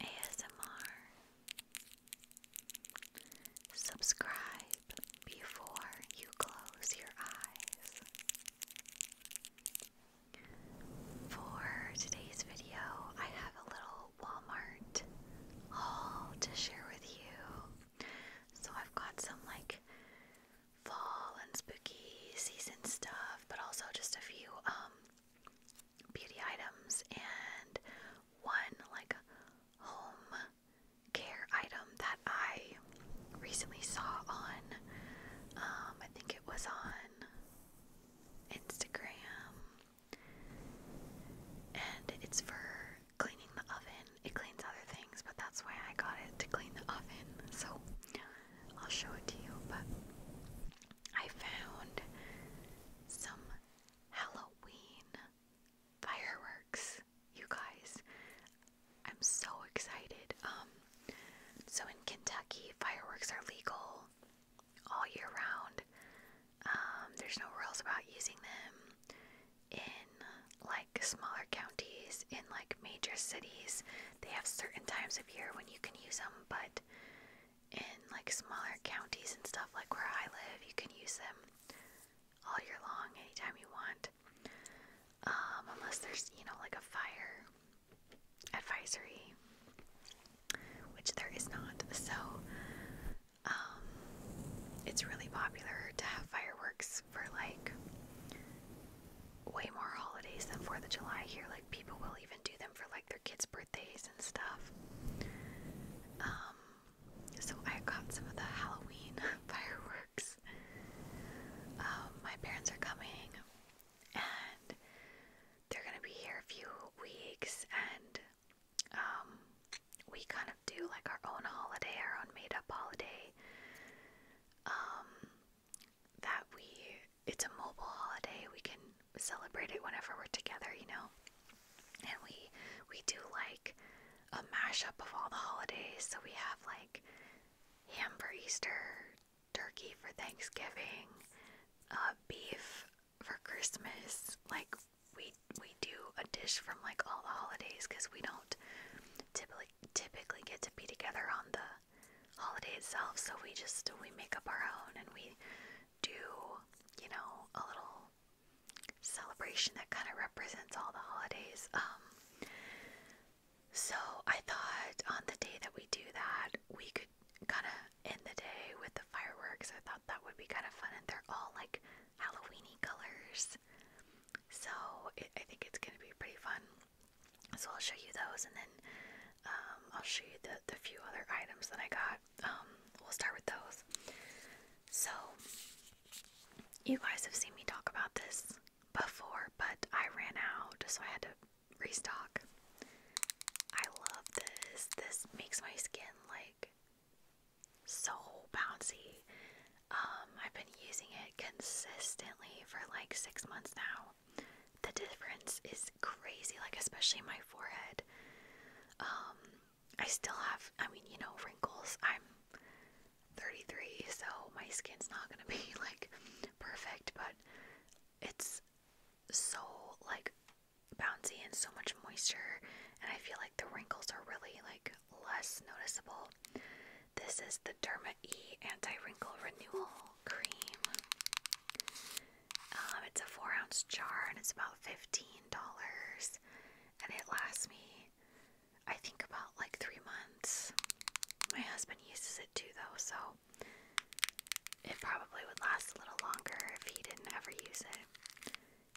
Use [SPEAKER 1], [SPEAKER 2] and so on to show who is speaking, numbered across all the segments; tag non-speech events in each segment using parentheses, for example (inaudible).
[SPEAKER 1] ASMR. Subscribe before you close your eyes. For today's video, I have a little Walmart haul to share with you. So I've got some like fall and spooky season stuff, but also just a few um beauty items and one like home care item that I recently saw on um I think it was on Instagram and it's for cleaning the oven. It cleans other things, but that's why I got it to clean the oven. So I'll show it to you, but I found some Halloween fireworks, you guys. I'm so excited. Um, so in Kentucky, fireworks are legal all year round. Um, there's no rules about using them in like smaller counties, in like major cities. They have certain times of year when you can use them, but in like smaller counties and stuff like where I live, you can use them all year long, anytime you want. Um, unless there's, you know, like a fire advisory, which there is not. So, um, it's really popular to have fireworks for like way more holidays than 4th of July here. Like, people will even do them for like their kids' birthdays and stuff. Um, so I got some of the Halloween (laughs) fireworks. Um, my parents are coming and they're gonna be here a few weeks and um, we kind of do like our own holiday, our own made up holiday that we it's a mobile holiday. We can celebrate it whenever we're together, you know. And we we do like a mashup of all the holidays. So we have like ham for Easter, turkey for Thanksgiving, uh, beef for Christmas. Like we we do a dish from like all the holidays because we don't typically typically get to be together on the holiday itself. So we just we make up our own and we do, you know, a little celebration that kind of represents all the holidays. Um, so I thought on the day that we do that, we could kind of end the day with the fireworks. I thought that would be kind of fun, and they're all like Halloweeny colors. So I think it's gonna be pretty fun. So I'll show you those and then um, I'll show you the, few other items that I got. Um, we'll start with those. So, you guys have seen me talk about this before, but I ran out, so I had to restock. I love this. This makes my skin like so bouncy. Um, I've been using it consistently for like six months now. The difference is crazy, like especially my forehead. Um, I still have, I mean, you know, wrinkles. I'm 33, so my skin's not gonna be (laughs) like perfect, but it's so like bouncy and so much moisture, and I feel like the wrinkles are really like less noticeable. This is the Derma E Anti Wrinkle Renewal Cream. Um, it's a four ounce jar and it's about fifteen dollars, and it lasts me, I think, about like three months. My husband uses it too, though, so it probably would last a little longer if he didn't ever use it.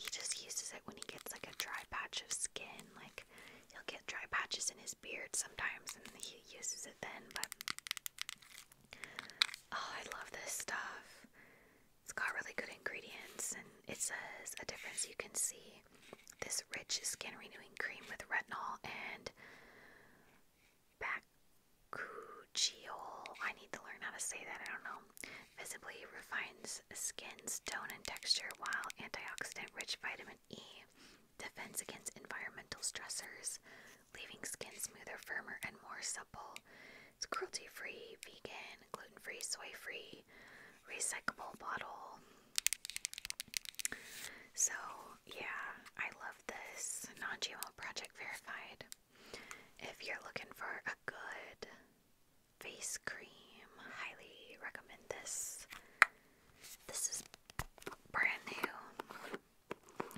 [SPEAKER 1] He just uses it when he gets like a dry patch of skin, like he'll get dry patches in his beard sometimes and he uses it then, but oh, I love this stuff. It's got really good ingredients and it says a difference you can see. This rich skin renewing cream with retinol and bakuchiol. I need to learn how to say that, I don't know. Visibly refines skin's tone and texture while antioxidant rich vitamin E, defense against environmental stressors, leaving skin smoother, firmer, and more supple. It's cruelty free, vegan, gluten free, soy free, recyclable bottle. So, yeah, I love this non GMO project verified. If you're looking for a good face cream, highly recommend this. This is brand new.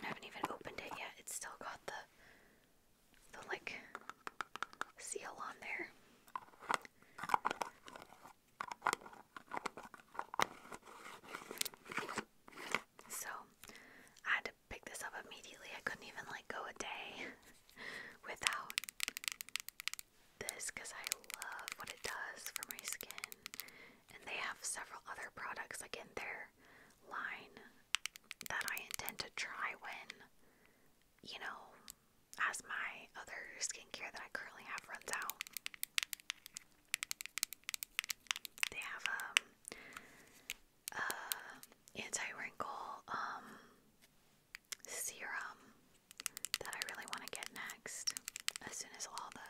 [SPEAKER 1] I haven't even opened it yet. It's still got the the like seal on there. So I had to pick this up immediately. I couldn't even like go a day (laughs) without this because I love what it does for my skin. And they have several other products like in their line that I intend to try when, you know, as my other skincare that I currently have runs out. They have um uh, anti-wrinkle um, serum that I really want to get next as soon as all the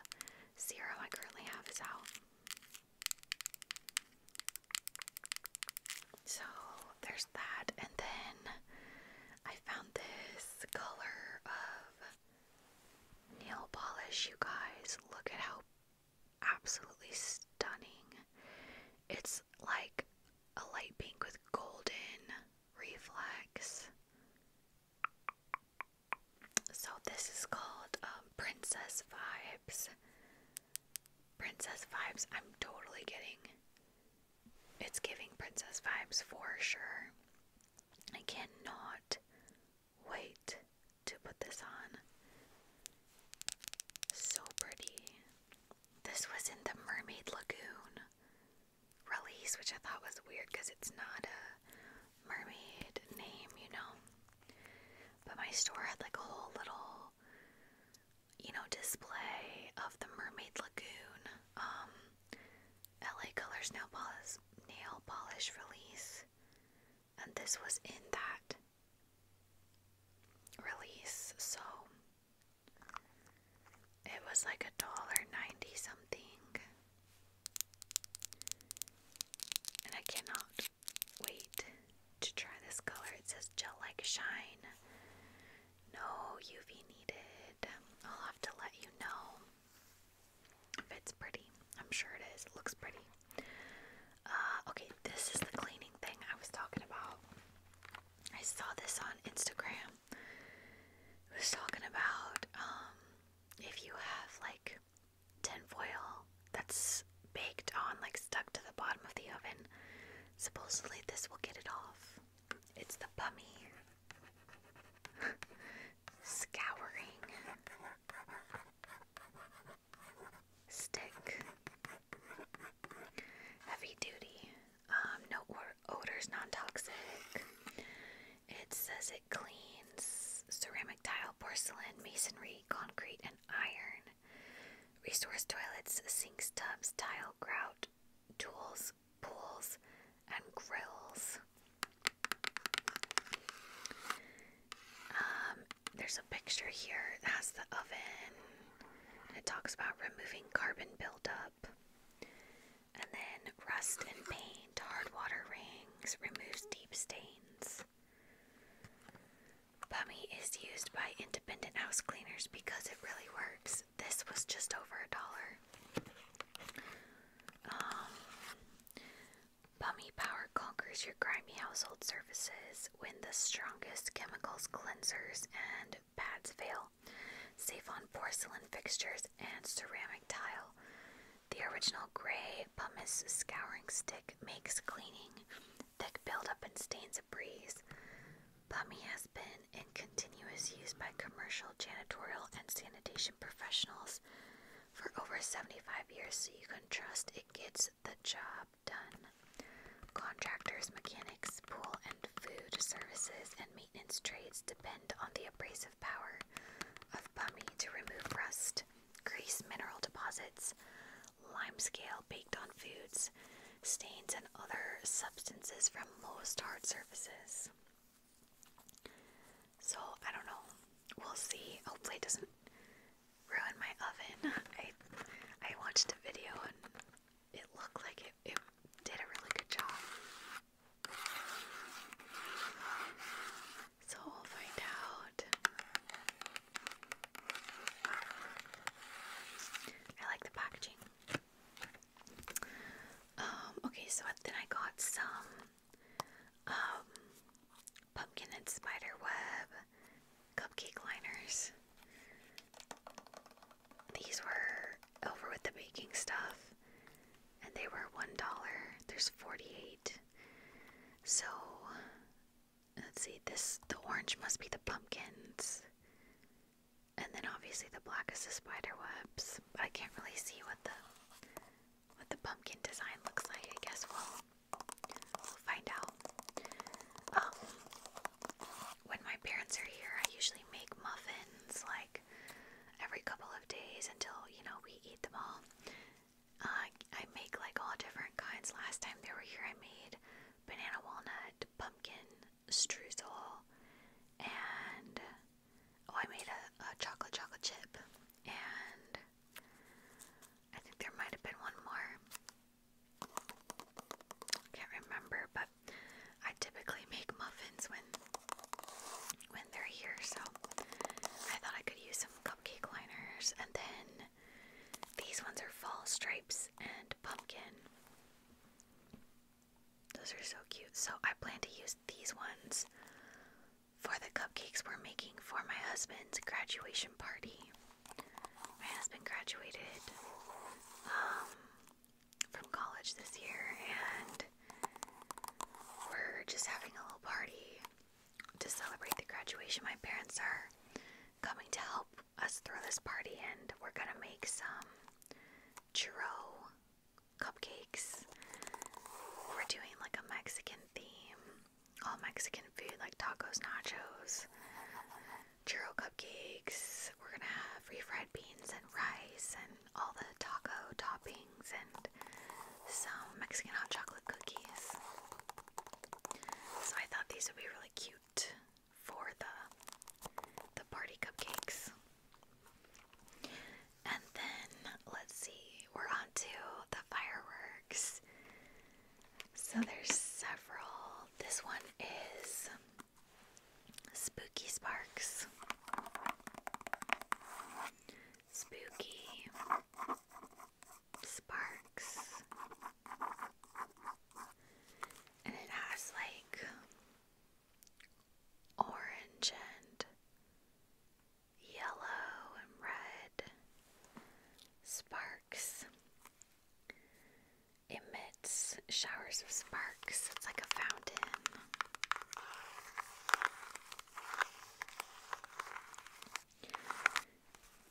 [SPEAKER 1] zero I currently have is out. So there's that, and then I found this color of nail polish. You guys, look at how absolutely stunning! It's like a light pink with golden reflex. So this is called um, Princess Vibes. Princess Vibes. I'm totally getting. It's giving Princess Vibes for sure. I cannot wait to put this on. So pretty. This was in the Mermaid Lagoon release, which I thought was weird because it's not a mermaid name, you know. But my store had like a whole little, you know, display of the Mermaid Lagoon, um, LA Colors nail polish, nail polish release, and this was in that release, so it was like a dollar ninety something. And I cannot wait to try this color. It says gel like shine. No UV needed. I'll have to let you know if it's pretty. I'm sure it is. looks pretty. Uh, okay, this is the cleaning thing I was talking about. I saw this on Instagram was talking about um, if you have like tin foil that's baked on, like stuck to the bottom of the oven, supposedly this will get it off. It's the bummy (laughs) scouring stick. Heavy duty. Um, no odors, non-toxic. It says it cleans ceramic tile, porcelain, masonry, concrete, and iron. Resource toilets, sinks, tubs, tile, grout, tools, pools, and grills. Um, there's a picture here that has the oven. It talks about removing carbon buildup. And then rust and paint, hard water rings, removes deep stains. Bummy is used by independent house cleaners because it really works. This was just over a dollar. Um, Bummy Power conquers your grimy household surfaces when the strongest chemicals, cleansers, and pads fail tile, safe on porcelain fixtures and ceramic tile. The original gray pumice scouring stick makes cleaning, thick buildup, and stains a breeze. Bummy has been in continuous use by commercial, janitorial, and sanitation professionals for over 75 years, so you can trust it gets the job done. Contractors, mechanics, pool, and food, services, and maintenance trades depend on the abrasive power of Bummy to remove rust, grease, mineral deposits, limescale baked on foods, stains, and other substances from most hard surfaces. So, I don't know. We'll see. Hopefully, it doesn't ruin my oven. (laughs) I, I watched a video and it looked like it, did a really good job. So we'll find out. I like the packaging. Um, okay, so then I got some um, pumpkin and spider cupcake liners. These were over with the baking stuff and they were $1. There's 48. So let's see this the orange must be the pumpkins. And then obviously the black is the spider webs. But I can't really see what the what the pumpkin design looks like. I guess we'll we'll find out. Um, when my parents are here, I usually make muffins like every couple of days until, you know, we eat them all. Uh, I make like all different kinds. Last time they were here, I made banana walnut, pumpkin, streusel, and oh, I made a, a chocolate chocolate chip. And I think there might have been one more. Can't remember, but I typically make muffins when when they're here, so I thought I could use some cupcake liners and then these ones are fall stripes and pumpkin. Those are so cute. So I plan to use these ones for the cupcakes we're making for my husband's graduation party. My husband graduated um, from college this year, and we're just having a little party to celebrate the graduation. My parents are coming to help us throw this party, and we're gonna make some churro cupcakes. We're doing like a Mexican theme, all Mexican food, like tacos, nachos, churro cupcakes. We're gonna have refried beans and rice and all the taco toppings and some Mexican hot chocolate cookies. So I thought these would be really cute for the the party cupcakes. And then let's see, we're on the fireworks. So there's several. This one is Spooky Sparks. Spooky Sparks. And it has like orange and yellow and red sparks emits showers of sparks. It's like a fountain.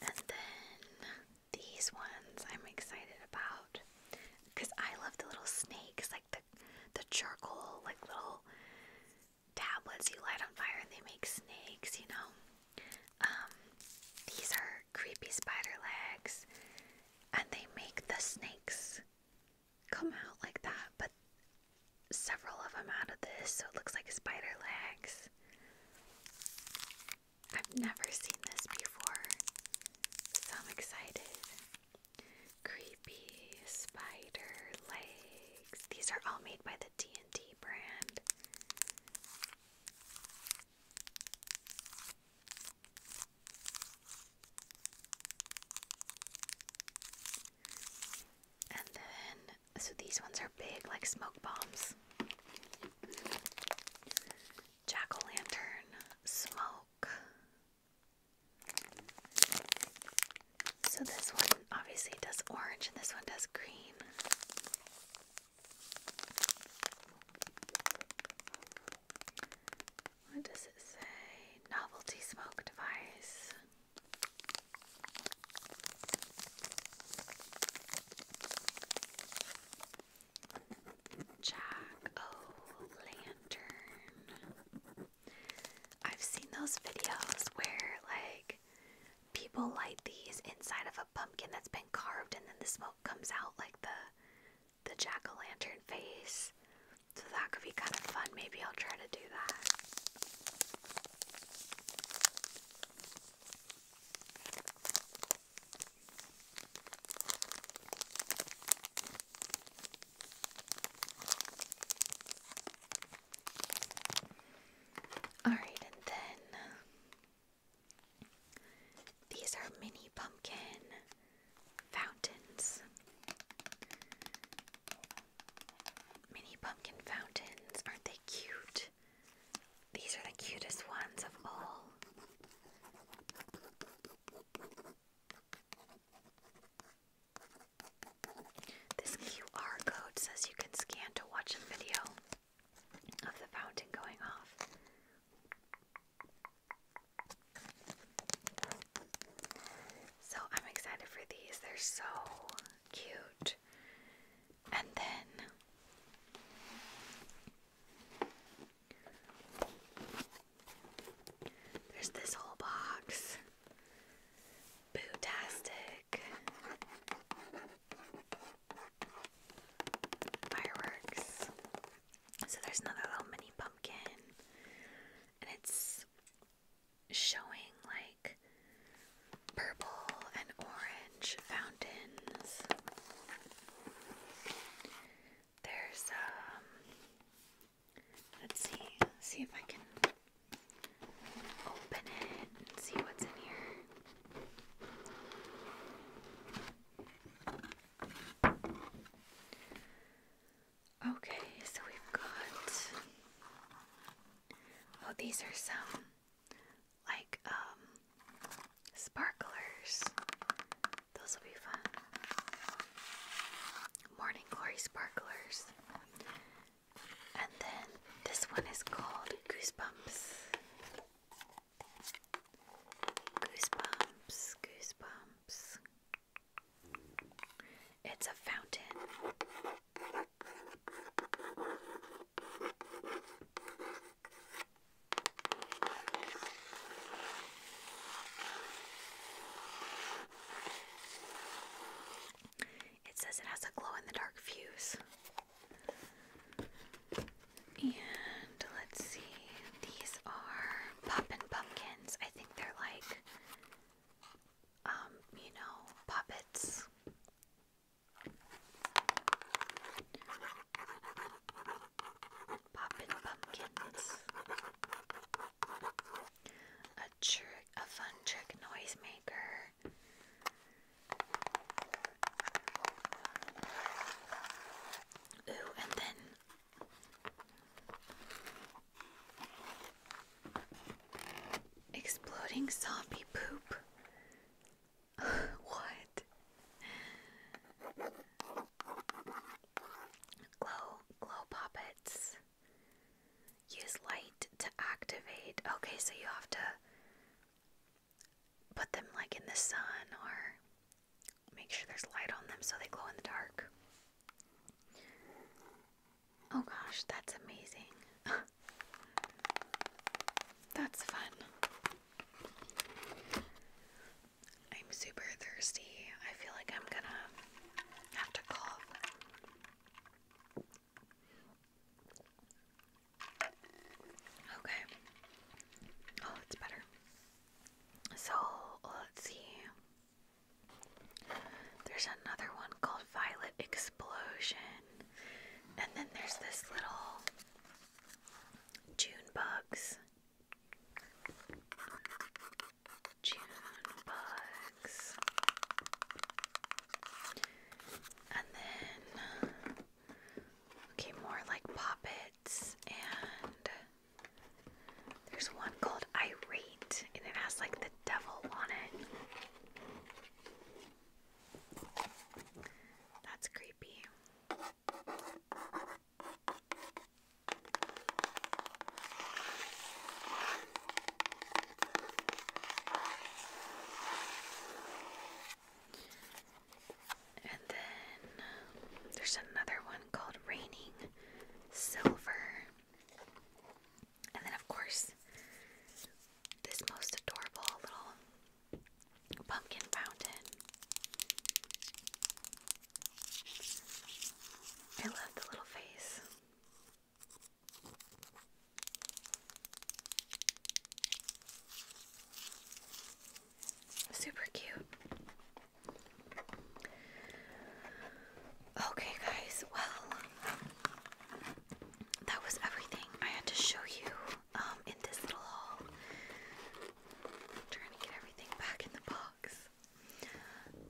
[SPEAKER 1] And then these ones I'm excited about because I love the little snakes, like the the charcoal, like little tablets you light on fire and they make snakes, you know. Um, these are creepy spider legs, and they make the snakes come out like that, but several of them out of this, so it looks like spider legs. I've never seen this before, so I'm excited. Creepy spider legs. These are all made by the D&D brand. And then, so these ones are big, like smoke bombs. Jack o' lantern, smoke. So this one obviously does orange and this one does green. What does it say? Novelty smoke device. Jack O' Lantern. I've seen those videos where, like, people light these inside of a pumpkin that's been carved and then the smoke comes out like the the jack-o'-lantern face. So that could be kind of fun. Maybe I'll try to do that. Alright, and then these are mini pumpkin fountains. Mini pumpkin fountains, aren't they cute? These are the cutest ones of all. This QR code says you can scan to watch the video of the fountain going off. So I'm excited for these. They're so cute. And then there's this whole box. Bootastic fireworks. So there's another little mini pumpkin, and it's showing like purple and orange fountains. There's um, let's see, see if I can open it and see what's in here. Okay, so we've got. Oh, these are some like um, sparklers. Those will be fun. Morning glory sparklers. And then this one is called Goosebumps. Goosebumps, Goosebumps. It's a fountain. It says it has a glow in the dark fuse. And let's see, these are Poppin' Pumpkins. I think they're like, um, you know, puppets. Poppin' Pumpkins a trick, a fun trick noisemaker. Ooh, and then exploding zombie poop. (laughs) what? Glow, glow poppets. Use light to activate. Okay, so you have to put them like in the sun or make sure there's light on them so they glow in the dark. Oh gosh, that's amazing. (laughs) that's fun. I'm super thirsty. I feel like I'm gonna have to cough. Okay. Oh, it's better. So let's see. There's another one called Violet Explosion. And then there's this little June Bugs. June bugs. And then okay, more like poppets and there's one called Irate and it has like the devil on it. That's creepy. And then there's another one called Raining Silver. And then, of course, this most adorable little pumpkin fountain. I love the little face. Super cute. Okay, guys, well, that was everything I had to show you um, in this little haul. trying to get everything back in the box.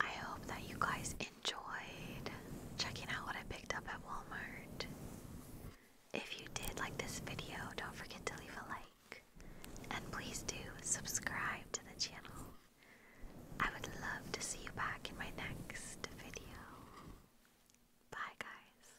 [SPEAKER 1] I hope that you guys enjoyed checking out what I picked up at Walmart. If you did like this video, don't forget to leave a like. And please do subscribe to the channel. I would love to see you back in my next video. Bye, guys.